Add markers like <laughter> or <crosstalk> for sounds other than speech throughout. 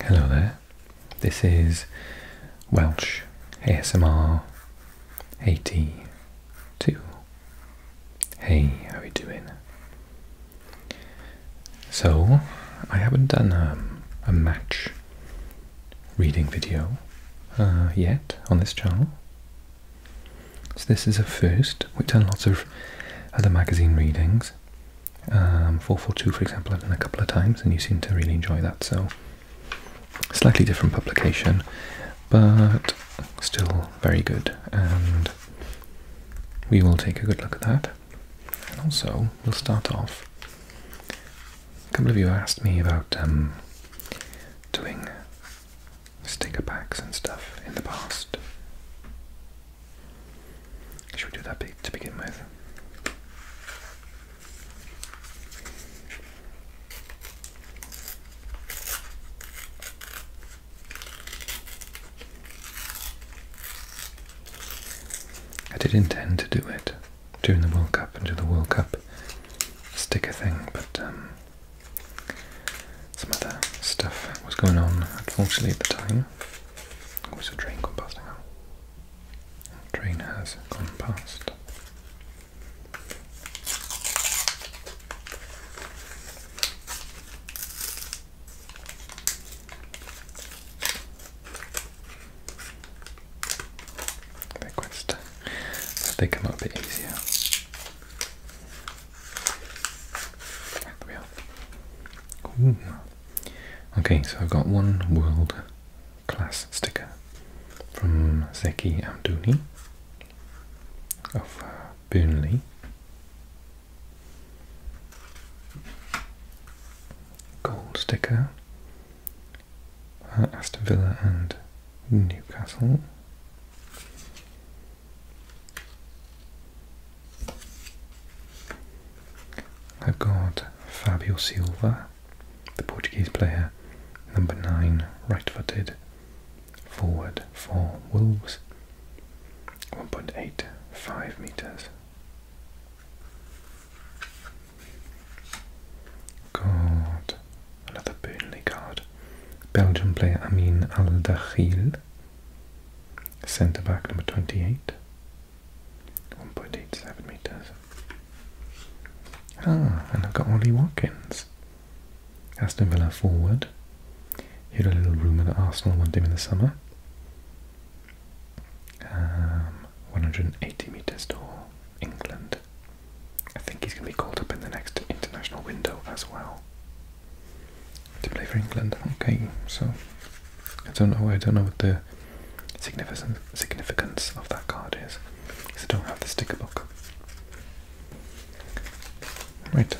Hello there. This is Welsh ASMR 82. Hey, how are you doing? So, I haven't done um, a match reading video uh, yet on this channel. So this is a first. We've done lots of other magazine readings, um, 442, for example, i a couple of times, and you seem to really enjoy that. So, slightly different publication, but still very good. And we will take a good look at that. And also, we'll start off. A couple of you asked me about um, doing sticker packs and stuff in the past. Should we do that to begin with? I did intend to do it during the World Cup and do the World Cup sticker thing, but um, some other stuff was going on, unfortunately, at the time. Oh, a train compassed? past now? A train has gone past. They're they come up a bit easier. There we Okay, so I've got one world class sticker from Zeki Amdouni of uh, Burnley. Gold sticker, uh, Aston Villa and Newcastle. I've got Fabio Silva, the Portuguese player, number 9, right footed, forward for Wolves, 1.85 metres. Got another Burnley card. Belgian player Amin Al Dakhil, centre back number 28, 1.87 meters. Ah, and I've got Wally Watkins. Aston Villa forward. You had a little rumour that Arsenal want him in the summer. Um, 180 metres tall, England. I think he's going to be called up in the next international window as well to play for England. Okay, so I don't know. I don't know what the significance significance of that card is. I don't have the sticker book. Right.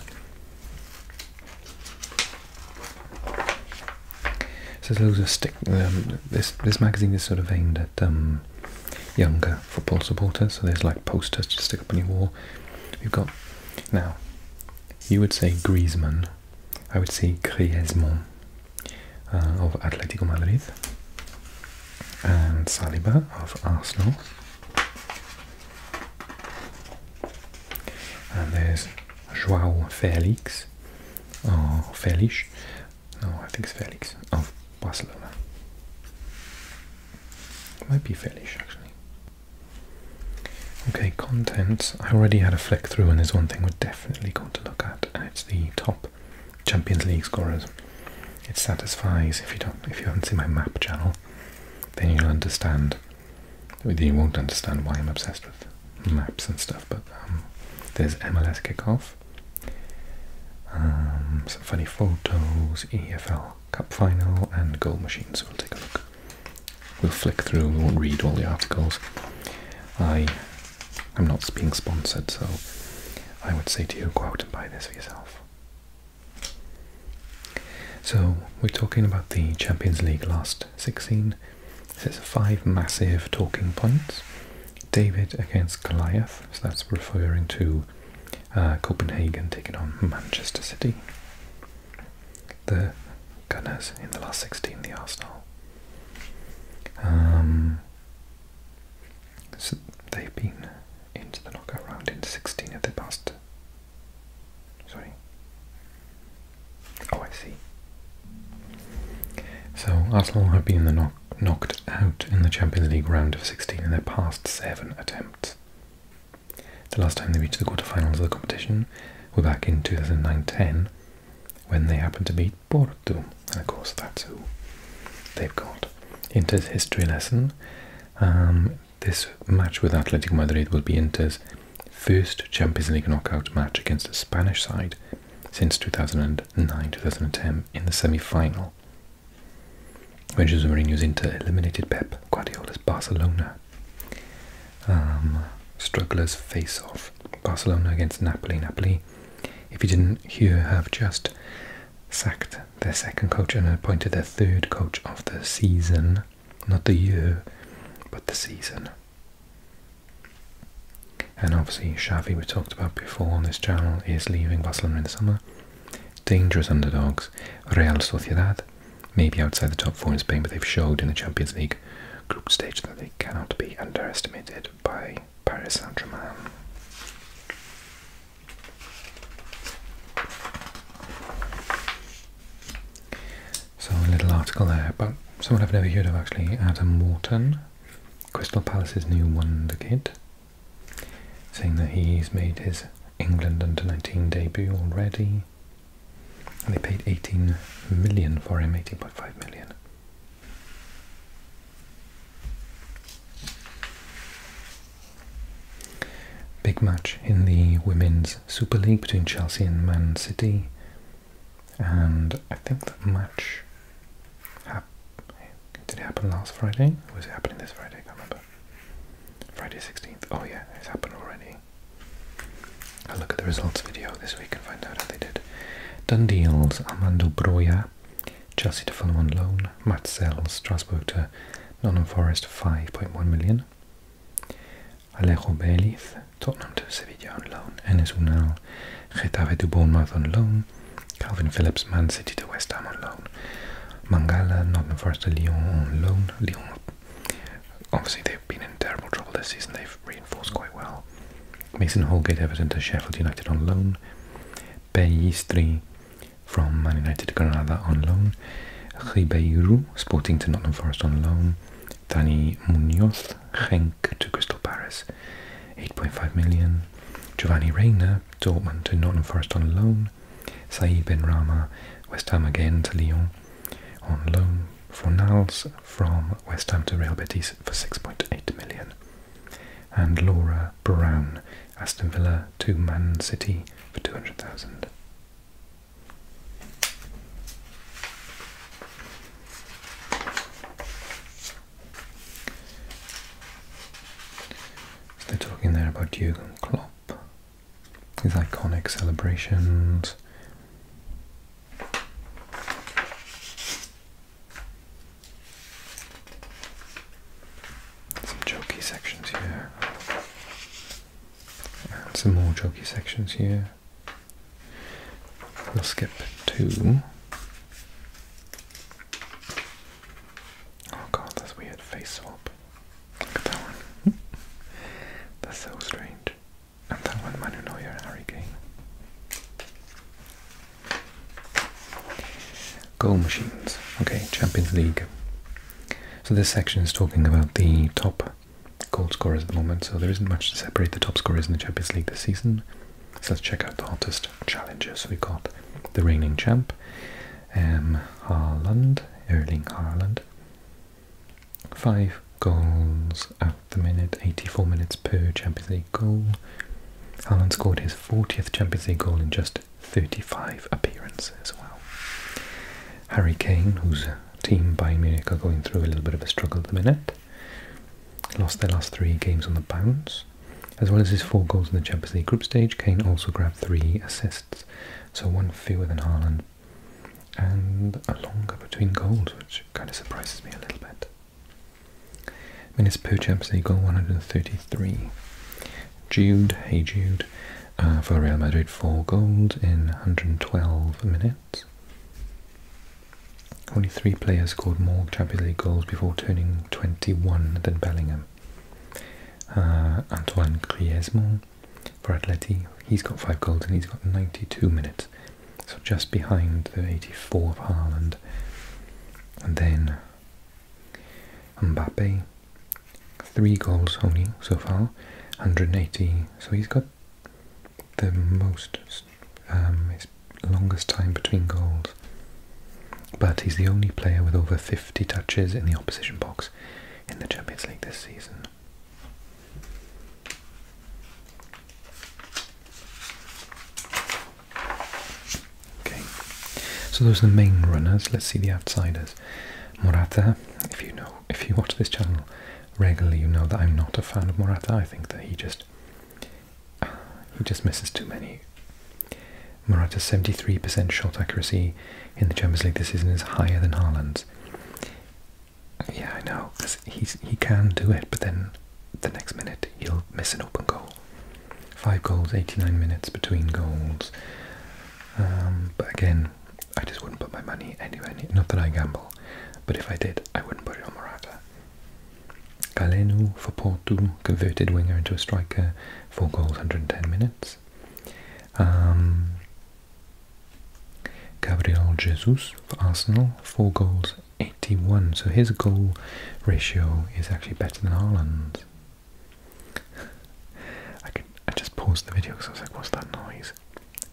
So there's loads stick. Um, this this magazine is sort of aimed at um, younger football supporters. So there's like posters to stick up on your wall. We've got now. You would say Griezmann I would say Griezmann uh, of Atletico Madrid and Saliba of Arsenal. And there's João Felix, or Felix, no, I think it's Felix, of Barcelona. might be Felix actually. Okay, content. I already had a flick through, and there's one thing we're definitely going to look at, and it's the top Champions League scorers. It satisfies if you don't, if you haven't seen my map channel, then you'll understand. You won't understand why I'm obsessed with maps and stuff, but um, there's MLS kickoff, um, some funny photos, EFL Cup final, and goal machines. we'll take a look. We'll flick through. We won't read all the articles. I, I'm not being sponsored, so I would say to you, go out and buy this for yourself. So we're talking about the Champions League last 16. This is five massive talking points. David against Goliath. So that's referring to uh, Copenhagen taking on Manchester City. The Gunners in the last 16, the Arsenal. Um, so they've been into the knockout round in 16 of their past. Sorry. Oh, I see. So Arsenal have been knocked out in the Champions League round of 16 in their past seven attempts. The last time they reached the quarterfinals of the competition were back in 2009 when they happen to beat Porto. And of course, that's who they've got. Inter's history lesson. Um, this match with Athletic Madrid will be Inter's first Champions League knockout match against the Spanish side since 2009-2010 in the semi-final, when Jose Mourinho's Inter eliminated Pep Guardiola's Barcelona um, strugglers face off. Barcelona against Napoli. Napoli, if you didn't hear, have just sacked their second coach and appointed their third coach of the season. Not the year, but the season. And obviously, Xavi, we talked about before on this channel, is leaving Barcelona in the summer. Dangerous underdogs. Real Sociedad, maybe outside the top four in Spain, but they've showed in the Champions League group stage that they cannot be underestimated by Paris Saint Germain. So, a little article there but someone I've never heard of actually Adam Wharton, Crystal Palace's new wonder kid, saying that he's made his England under 19 debut already and they paid 18 million for him, 18.5 million. Big match in the Women's Super League between Chelsea and Man City. And I think that match hap did it happen last Friday? Or was it happening this Friday? I can't remember. Friday 16th. Oh yeah, it's happened already. A look at the results video this week and find out how they did. Done deals Armando Broya, Chelsea to Fulham on loan, Matt Strasbourg to Nottingham Forest 5.1 million. Alejo Beliz, Tottenham to Sevilla on loan, Enes Unal, Getafe to Bournemouth on loan, Calvin Phillips, Man City to West Ham on loan, Mangala, Nottingham Forest to Lyon on loan. Lyon, obviously they've been in terrible trouble this season, they've re reinforced quite well. Mason Holgate Everton to Sheffield United on loan. Pellistri from Man United to Granada on loan. Ribeiro, Sporting to Nottingham Forest on loan. Dani Munoz, Henk to Crystal Palace, 8.5 million. Giovanni Reina, Dortmund to Nottingham Forest on loan. Saeed Ben Rama, West Ham again to Lyon on loan for Niles from West Ham to Real Betis for 6.8 million. And Laura Brown, Aston Villa to Man City for 200,000. they're talking there about Jurgen Klopp, his iconic celebrations, some jokey sections here, some more jokey sections here. We'll skip two. Oh god, that's weird face swap. Look at that one. Hmm. that's so strange. And that one Manu Neuer Hurricane. Goal machines. Okay, Champions League. So this section is talking about the top goal scorers at the moment, so there isn't much to separate the top scorers in the Champions League this season. So let's check out the hottest challenges We've got the reigning champ, um, Erling Haaland, Five goals at the minute, 84 minutes per Champions League goal. Haaland scored his 40th Champions League goal in just 35 appearances. as well. Harry Kane, whose team Bayern Munich are going through a little bit of a struggle at the minute, lost their last three games on the bounce. As well as his four goals in the Champions League group stage, Kane also grabbed three assists, so one fewer than Haaland, and a longer between goals, which kind of surprises me a little bit. Minutes per Champions League 133. Jude, hey Jude, uh, for Real Madrid, 4 goals in 112 minutes. Only three players scored more Champions League goals before turning 21 than Bellingham. Uh, Antoine Griezmann for Atleti, he's got 5 goals and he's got 92 minutes so just behind the 84 of And then Mbappe, three goals only so far, 180. So he's got the most, um, longest time between goals. But he's the only player with over 50 touches in the opposition box in the Champions League this season. Okay, so those are the main runners. Let's see the outsiders. Morata, if you know, if you watch this channel regularly, you know that I'm not a fan of Morata. I think that he just he just misses too many. Morata's 73% shot accuracy in the Champions League this season is higher than Haaland's. Yeah, I know, because he can do it, but then the next minute he'll miss an open goal. Five goals, 89 minutes between goals. Um, but again, I just wouldn't put my money anywhere Not that I gamble, but if I did, I wouldn't put it on Morata. Galeno for Porto, converted winger into a striker, 4 goals, 110 minutes. Um, Gabriel Jesus for Arsenal, 4 goals, 81. So his goal ratio is actually better than Haaland's. I I just paused the video because I was like, what's that noise?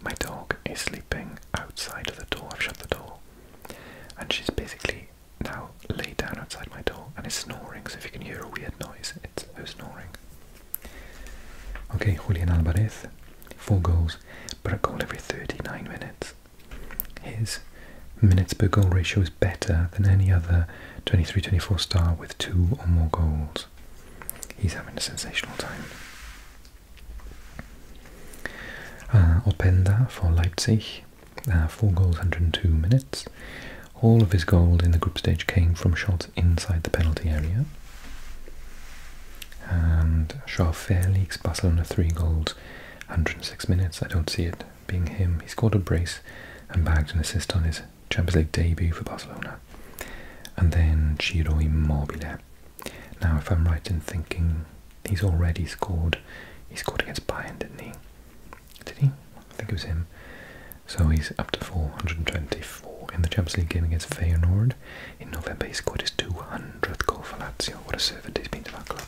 My dog is sleeping outside of the door. I've shut the door. And she's basically now laid down outside my door and is snoring. So if you can hear a weird noise, it's her snoring. Okay, Julian Alvarez, four goals, but a goal every 39 minutes. His minutes per goal ratio is better than any other 23-24 star with two or more goals. He's having a sensational time. Uh, for Leipzig, uh, 4 goals, 102 minutes. All of his goals in the group stage came from shots inside the penalty area and Shaw Fairleague's Barcelona three goals, 106 minutes. I don't see it being him. He scored a brace and bagged an assist on his Champions League debut for Barcelona. And then Ciro Immobile. Now, if I'm right in thinking, he's already scored. He scored against Bayern, didn't he? Did he? I think it was him. So he's up to 424 in the Champions League game against Feyenoord. In November, he scored his 200th goal for Lazio. What a servant he's been to that club.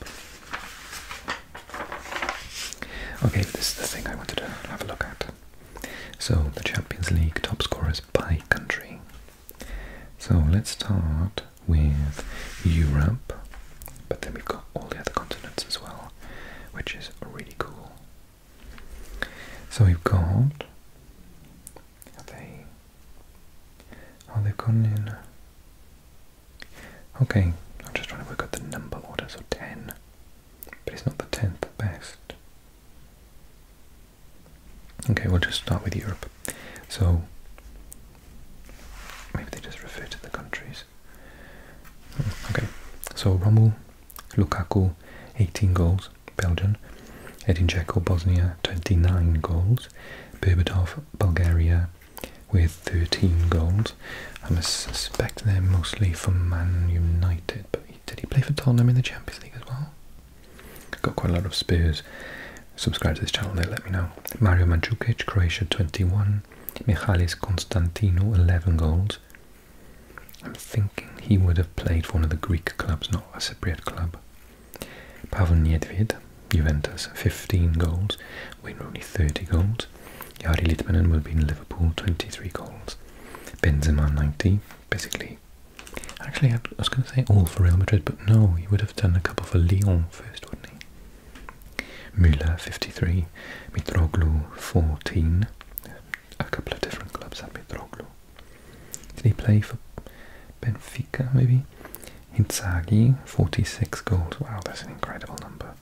Okay, this is the thing I wanted to have a look at. So, the Champions League top scorers by country. So, let's start with Europe, but then we've got all the other continents as well, which is really cool. So, we've got. They are oh, they've gone in. Okay, I'm just trying to work out the number order, so 10. But it's not the 10th best. Okay, we'll just start with Europe. So, maybe they just refer to the countries. Hmm, okay, so Rommel, Lukaku, 18 goals, Belgium. Edin Dzeko, Bosnia, 29 goals with Bulgaria with 13 goals. I must suspect they're mostly for Man United, did he play for Tottenham in the Champions League as well? Got quite a lot of Spurs. Subscribe to this channel there, let me know. Mario Mandzukic, Croatia 21. Michalis Konstantino, 11 goals. I'm thinking he would have played for one of the Greek clubs, not a Cypriot club. Pavel Nedved, Juventus, 15 goals. Wayne only 30 goals. Yari Litmanen will be in Liverpool, 23 goals. Benzema, 90. Basically, actually, I was going to say all for Real Madrid, but no, he would have done a couple for Lyon first, Müller, 53. Mitroglou, 14. A couple of different clubs had Mitroglou. Did he play for Benfica, maybe? Hitzagi, 46 goals. Wow, that's an incredible number.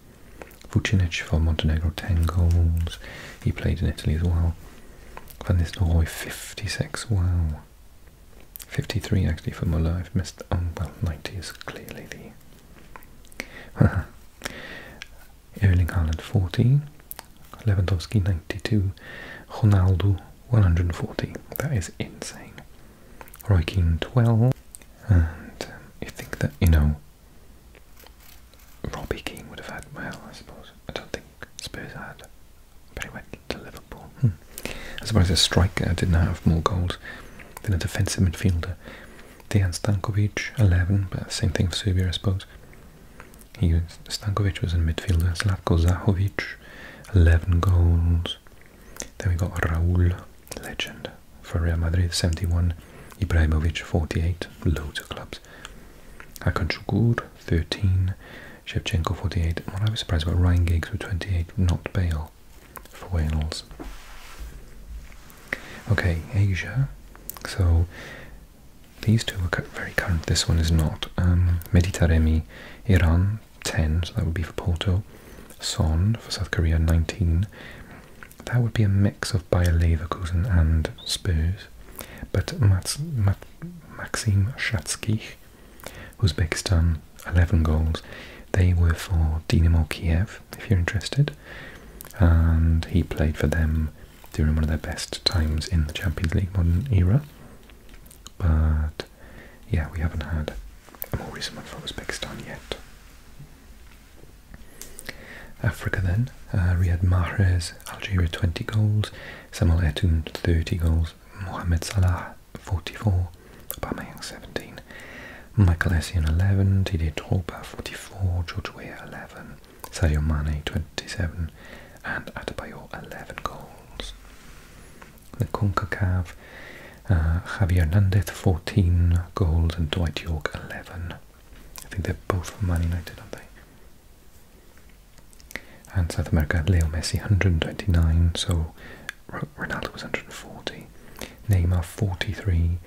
Vucinic for Montenegro, 10 goals. He played in Italy as well. Van Nistelrooy, 56. Wow. 53 actually for Muller. I've missed. Um, well, 90 is clearly the. <laughs> Erling Haaland, 40. Lewandowski, 92. Ronaldo, 140. That is insane rook 12 and you think that, you know, Robbie Keane would have had, well, I suppose, I don't think Spurs had, but he went to Liverpool. Hmm. I suppose a striker didn't have more goals than a defensive midfielder. Dejan Stankovic, 11, but same thing for Serbia, I suppose. He, Stankovic was a midfielder, Slavko Zahovic, 11 goals. Then we got Raul, legend for Real Madrid, 71. Ibrahimovic, 48. Loads of clubs. Hakan Şükür, 13. Shevchenko, 48. What I was surprised about, Ryan Giggs with 28, not Bale for Wales. Okay, Asia. So these two are very current. This one is not. Um, Meditaremi, Iran, 10, so that would be for Porto. Son for South Korea, 19. That would be a mix of Bayer and Spurs. But Mats, Mat, Maxim Shatskich, Uzbekistan, 11 goals. They were for Dinamo Kiev, if you're interested. And he played for them during one of their best times in the Champions League modern era. But yeah, we haven't had a more recent one from Uzbekistan yet. Africa then, uh, Riyad Mahrez, Algeria 20 goals, Samuel Eto'o 30 goals, Mohamed Salah 44, Aubameyang 17, Michael Essien 11, Didier Drogba 44, George Weah 11, Sadio Mane 27, and Adebayor 11 goals the CONCACAF, uh, Javier Nandez 14 gold and Dwight York 11. I think they're both from Man aren't they? And South America, Leo Messi 129, so Ronaldo was 140. Neymar 43,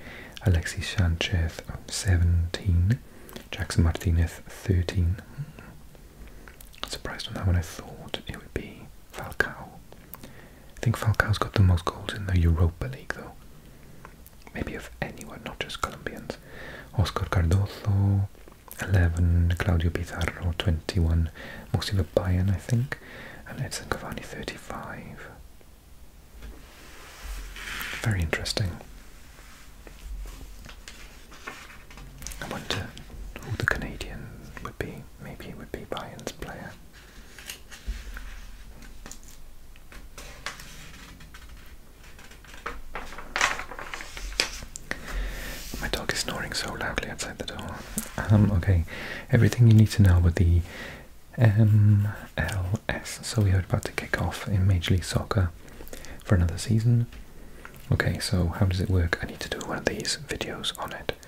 Alexis Sanchez 17, Jackson Martinez 13. I'm hmm. surprised on that one. I thought it would be Falcao. I think Falcao's got the most goals in the Europa League, though. Maybe of anyone, not just Colombians. Oscar Cardozo, 11. Claudio Pizarro, 21. Mostly of Bayern, I think. And Edson Cavani, 35. Very interesting. I wonder who the Canadian would be. Maybe would be Bayern's player. My dog is snoring so loudly outside the door. Um, okay, everything you need to know about the MLS. So we are about to kick off in Major League Soccer for another season. Okay, so how does it work? I need to do one of these videos on it.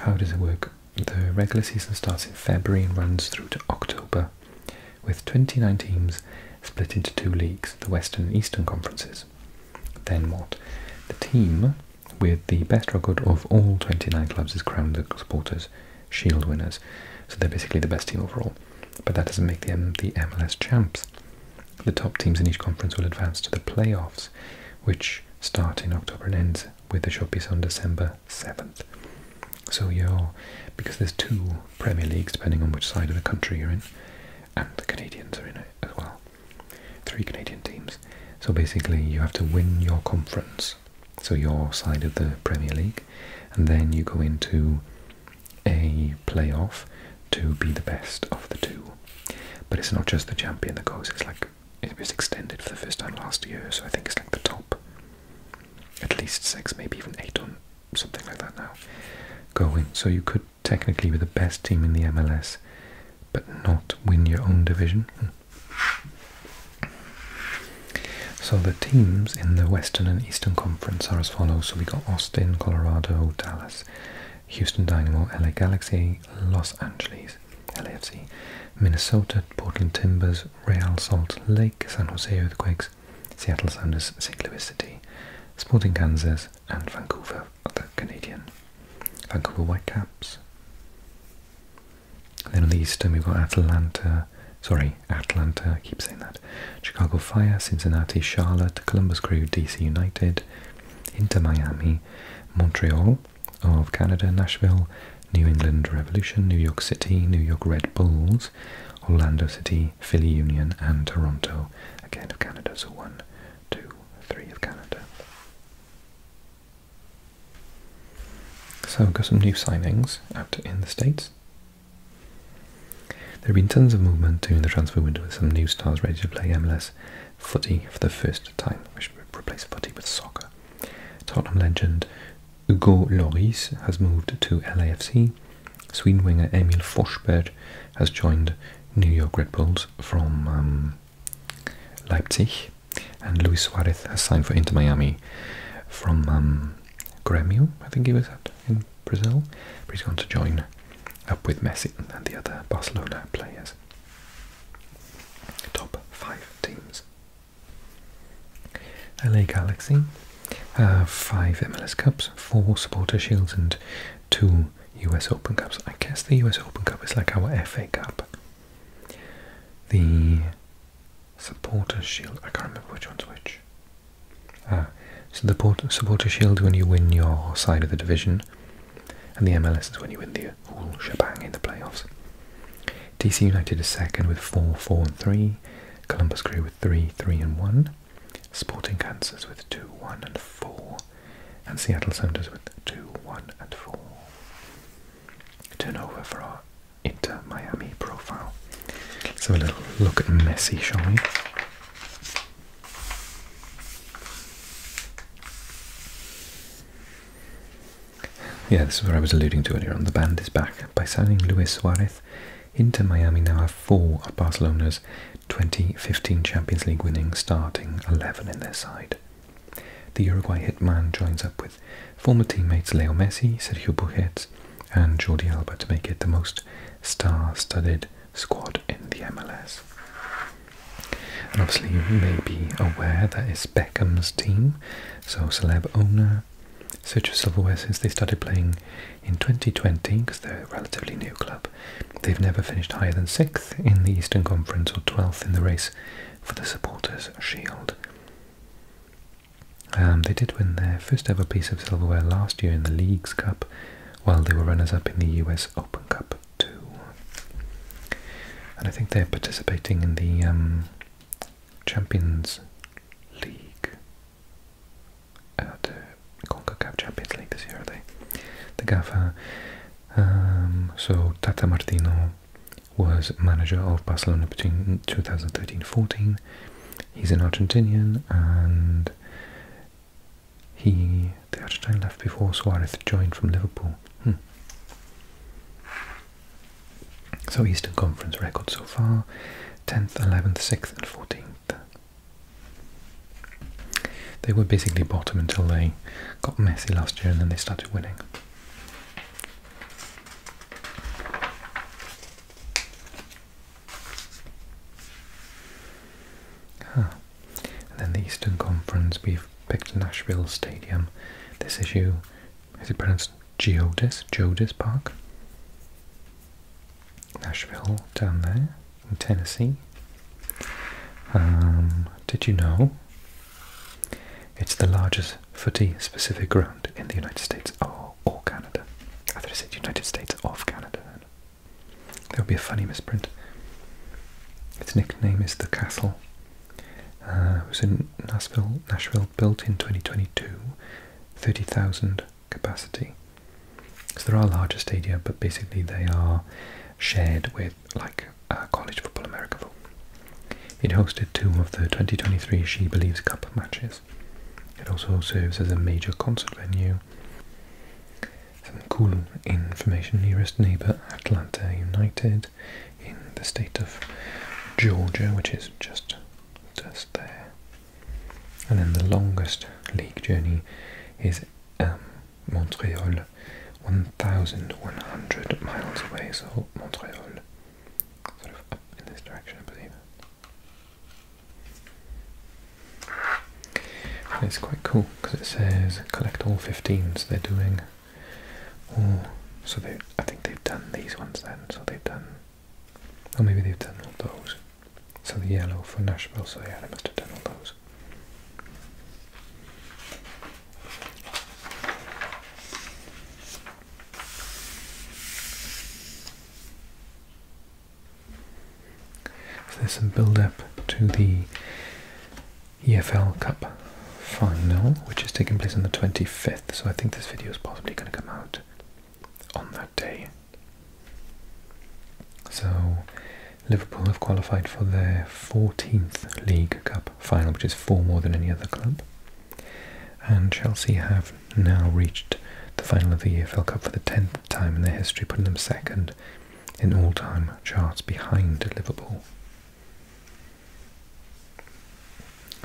How does it work? The regular season starts in February and runs through to October, with 29 teams split into two leagues, the Western and Eastern Conferences. Then what? The team with the best record of all 29 clubs is crowned the supporters' shield winners. So they're basically the best team overall. But that doesn't make them the MLS champs. The top teams in each conference will advance to the playoffs, which start in October and ends with the Shoppies on December 7th. So you because there's two Premier Leagues depending on which side of the country you're in, and the Canadians are in it as well. Three Canadian teams. So basically you have to win your conference, so your side of the Premier League, and then you go into a playoff to be the best of the two. But it's not just the champion that goes, it's like it was extended for the first time last year, so I think it's like the top at least six, maybe even eight on something like that now going. So you could technically be the best team in the MLS, but not win your own division. So the teams in the Western and Eastern Conference are as follows. So we got Austin, Colorado, Dallas, Houston Dynamo, LA Galaxy, Los Angeles, LAFC, Minnesota, Portland Timbers, Real Salt Lake, San Jose Earthquakes, Seattle Sounders, St. Louis City, Sporting Kansas, and Vancouver, the Canadian. Vancouver Whitecaps. Then on the eastern, we've got Atlanta, sorry, Atlanta, I keep saying that. Chicago Fire, Cincinnati, Charlotte, Columbus Crew, DC United, Inter Miami, Montreal, of Canada, Nashville, New England Revolution, New York City, New York Red Bulls, Orlando City, Philly Union, and Toronto, again of Canada. So one, two, three of Canada. So we've got some new signings out in the States. There have been tons of movement during the transfer window with some new stars ready to play MLS footy for the first time. We should replace footy with soccer. Tottenham legend Hugo Lloris has moved to LAFC. Sweden winger Emil Forsberg has joined New York Red Bulls from um, Leipzig. And Luis Suarez has signed for Inter Miami from um, Grêmio, I think he was at in Brazil. He's going to join up with Messi and the other Barcelona players. Top five teams. LA Galaxy uh, five MLS Cups, four Supporter Shields, and two US Open Cups. I guess the US Open Cup is like our FA Cup. The Supporter Shield, I can't remember which one's which. Uh, so the Supporter Shield, when you win your side of the division, and the MLS is when you win the whole shebang in the playoffs. DC United is second with 4 4 and 3, Columbus Crew with 3 3 and 1, Sporting Kansas with 2 1 and 4, and Seattle Sounders with 2 1 and 4. Turn over for our Inter Miami profile. Let's have a little look at Messi, shall we? Yeah, this is what I was alluding to earlier on. The band is back. By signing Luis Suarez, Inter Miami now have four of Barcelona's 2015 Champions League winning starting 11 in their side. The Uruguay hitman joins up with former teammates Leo Messi, Sergio Busquets, and Jordi Alba to make it the most star-studded squad in the MLS. And obviously, you may be aware that it's Beckham's team, so celeb owner Search for Silverware since they started playing in 2020, because they're a relatively new club. They've never finished higher than 6th in the Eastern Conference or 12th in the race for the Supporters' Shield. Um, they did win their first ever piece of silverware last year in the League's Cup, while they were runners up in the US Open Cup two. And I think they're participating in the um, Champions League. Uh, the CONCACAF Champions League this year, are they? The GAFA. Um, so Tata Martino was manager of Barcelona between 2013-14. He's an Argentinian and he the Argentine left before Suarez joined from Liverpool. Hmm. So Eastern Conference record so far, 10th, 11th, 6th and 14th. They were basically bottom until they got messy last year and then they started winning. then the Eastern Conference, we you picked Nashville Stadium. This issue, is it pronounced Geodis? Geodis Park? Nashville, down there, in Tennessee. Um, did you know? It's the largest footy-specific ground in the United States or, or Canada. I thought I said United States of Canada. There will be a funny misprint. Its nickname is the Castle uh, it was in Nashville, Nashville, built in 2022, 30,000 capacity. So there are larger stadiums, but basically they are shared with like uh, College Football America. It hosted two of the 2023 She Believes Cup matches. It also serves as a major concert venue. Some cool information nearest neighbour Atlanta United in the state of Georgia, which is just just there. And then the longest league journey is um, Montreal, 1,100 miles away. So Montreal, sort of up in this direction, I believe. it's quite cool because it says collect all 15, they're doing or uh, so they, I think they've done these ones then. So they've done, or maybe they've done all those. So the yellow for Nashville. So yeah, they must have done all those. there's some build up to the EFL Cup final, which is taking place on the 25th. So I think this video is possibly going to come out on that day. So Liverpool have qualified for their 14th League Cup final, which is four more than any other club. And Chelsea have now reached the final of the EFL Cup for the 10th time in their history, putting them second in all-time charts behind Liverpool.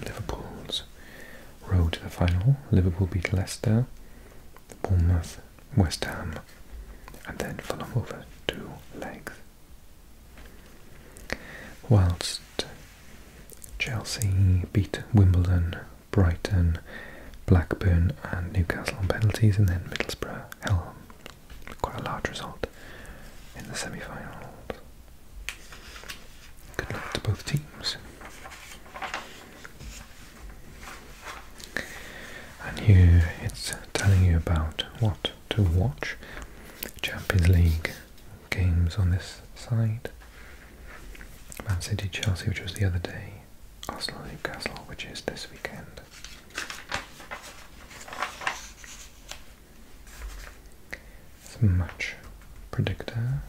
Liverpool's road to the final. Liverpool beat Leicester, Bournemouth, West Ham, and then Fulham over two legs. Whilst Chelsea beat Wimbledon, Brighton, Blackburn, and Newcastle on penalties, and then Middlesbrough, Hell, quite a large result in the semi-finals. Good luck to both teams. And here it's telling you about what to watch. Champions League games on this side. Man City Chelsea, which was the other day. Arsenal Newcastle, which is this weekend. It's a much predictor.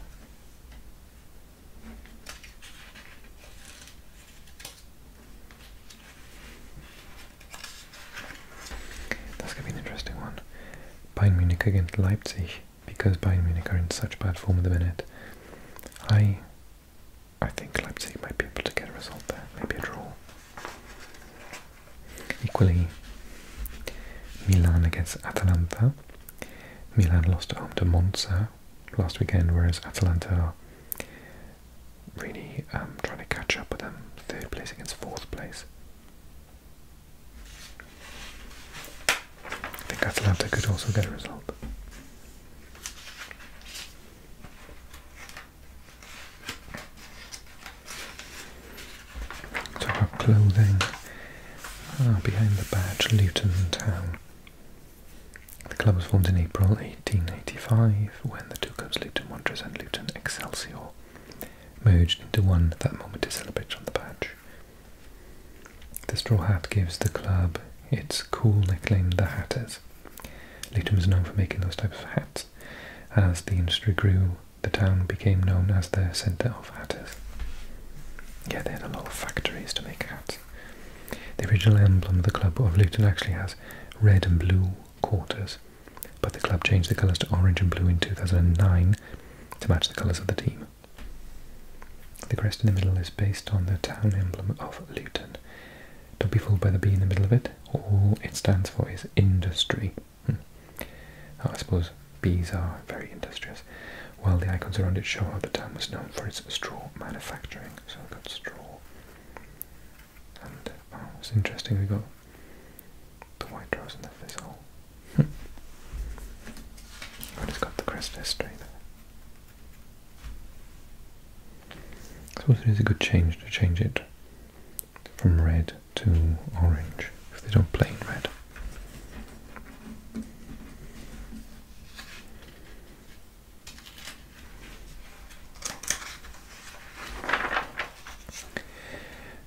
That's going to be an interesting one. Bayern Munich against Leipzig, because Bayern Munich are in such bad form at the minute. I, I think Leipzig might be able to get a result there, maybe a draw. Equally, Milan against Atalanta. Milan lost at home to Monza last weekend, whereas Atalanta are really um, trying to catch up with them. Third place against fourth place. I think Atalanta could also get a result. Talk about clothing. Ah, behind the badge, Luton Town. The club was formed in April 1885 when the two clubs, Luton Wanderers and Luton Excelsior, merged into one at that moment is celebrated on the badge. The straw hat gives the club its cool nickname, the Hatters. Luton was known for making those types of hats. As the industry grew, the town became known as the centre of hatters. Yeah, they had a lot of factories to make hats. The original emblem of the club of Luton actually has red and blue quarters, but the club changed the colours to orange and blue in 2009 to match the colours of the team. The crest in the middle is based on the town emblem of Luton. Don't be fooled by the bee in the middle of it. All it stands for is industry. Hmm. Oh, I suppose bees are very industrious. Well, the icons around it show how the town was known for its straw manufacturing. So we've got straw. And uh, oh, it's interesting, we've got the white rose and the fizzle. Hmm. And it's got the crest history there. I suppose it is a good change to change it from red to orange if they don't play in red.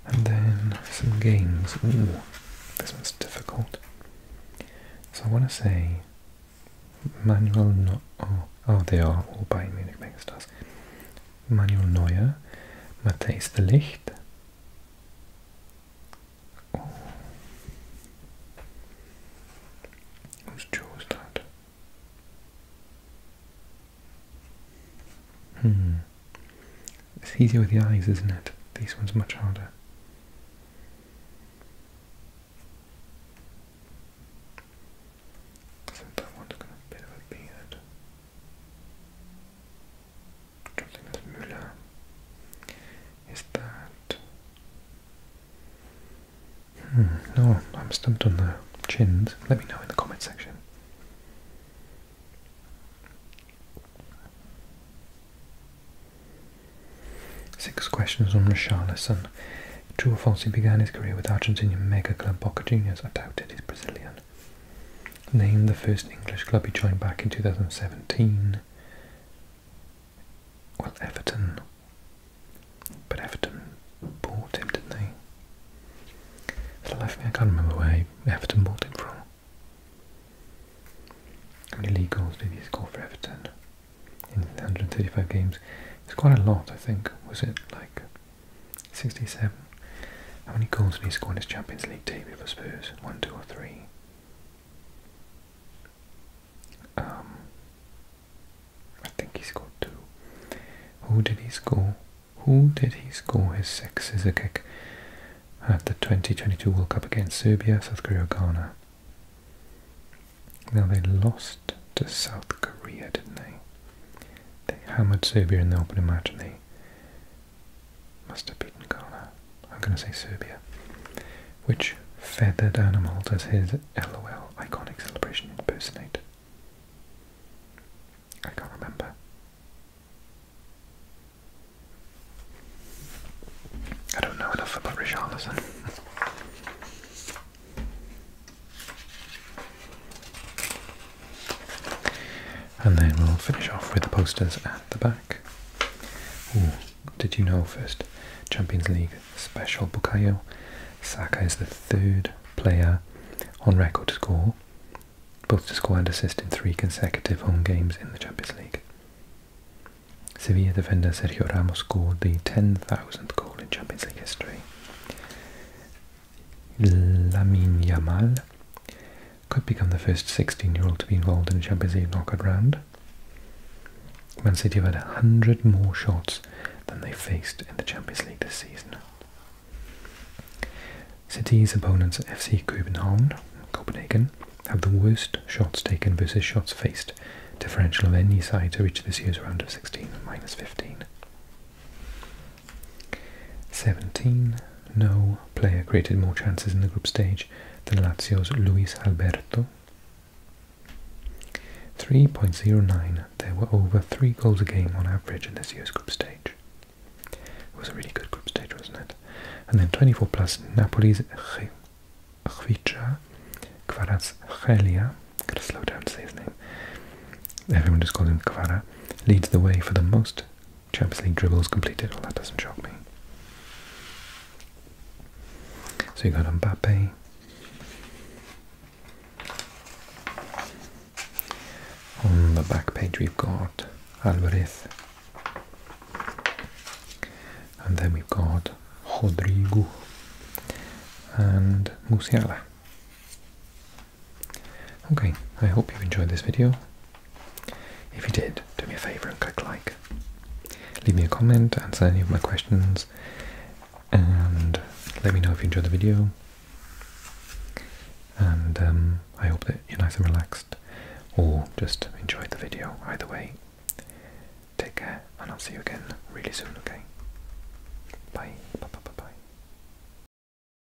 And then some games. Ooh, this one's difficult. So I want to say Manuel Not. Oh, oh, they are all Bayern Munich megastars. Manuel Neuer, Matthijs de Ligt. Oh. Whose jaw was Hmm. It's easier with the eyes, isn't it? These ones much harder. So that one's got a bit of a beard. Joseph Müller is that hmm, no, I'm stumped on the chins. Let me know in the comment section. Six questions on Richarlison. True or false, he began his career with Argentinian mega club Boca Juniors. I doubt he's Brazilian. Named the first English club he joined back in 2017. Well, Everton. But Everton bought him, didn't they? For the life of me, I can't remember where Everton bought him from. How league goals did he score for Everton in 135 games? It's quite a lot, I think. Was it like 67. How many goals did he score in his Champions League debut for Spurs? 1, 2 or 3? Um, I think he scored 2. Who did he score? Who did he score his six a kick at the 2022 World Cup against Serbia, South Korea, Ghana? Now they lost to South Korea, didn't they? They hammered Serbia in the opening match and they must have beaten Ghana. I'm going to say Serbia. Which feathered animal does his LOL iconic celebration impersonate? I can't remember. I don't know enough about Richarlison. <laughs> And then we'll finish off with the posters at the back. did you know first? Champions League special Bukayo. Saka is the third player on record to score, both to score and assist in three consecutive home games in the Champions League. Sevilla defender Sergio Ramos scored the 10,000th goal in Champions League history. Lamine Yamal could become the first 16-year-old to be involved in a Champions League knockout round. Man City have had 100 more shots than they faced in the Champions League this season. City's opponents FC Copenhagen, Copenhagen have the worst shots taken versus shots faced differential of any side to reach this year's round of 16 minus 15. 17. No player created more chances in the group stage than Lazio's Luis Alberto. 3.09. There were over three goals a game on average in this year's group stage. It was a really good group stage, wasn't it? And then 24 plus Napoli's Khvicha Kvaratskhelia. Gotta slow down to say his name. Everyone just calls him Kvara. Leads the way for the most Champions League dribbles completed. Oh, that doesn't shock me. So you got Mbappe. On the back page we've got Alvariz, And then we've got Rodrigo and Musiala. Okay, I hope you enjoyed this video. If you did, do me a favor and click like. Leave me a comment, answer any of my questions, and let me know if you enjoyed the video. And um, I hope that you're nice and relaxed, or just enjoyed the video. Either way, take care, and I'll see you again really soon, okay? Bye. Bye, bye, bye, bye.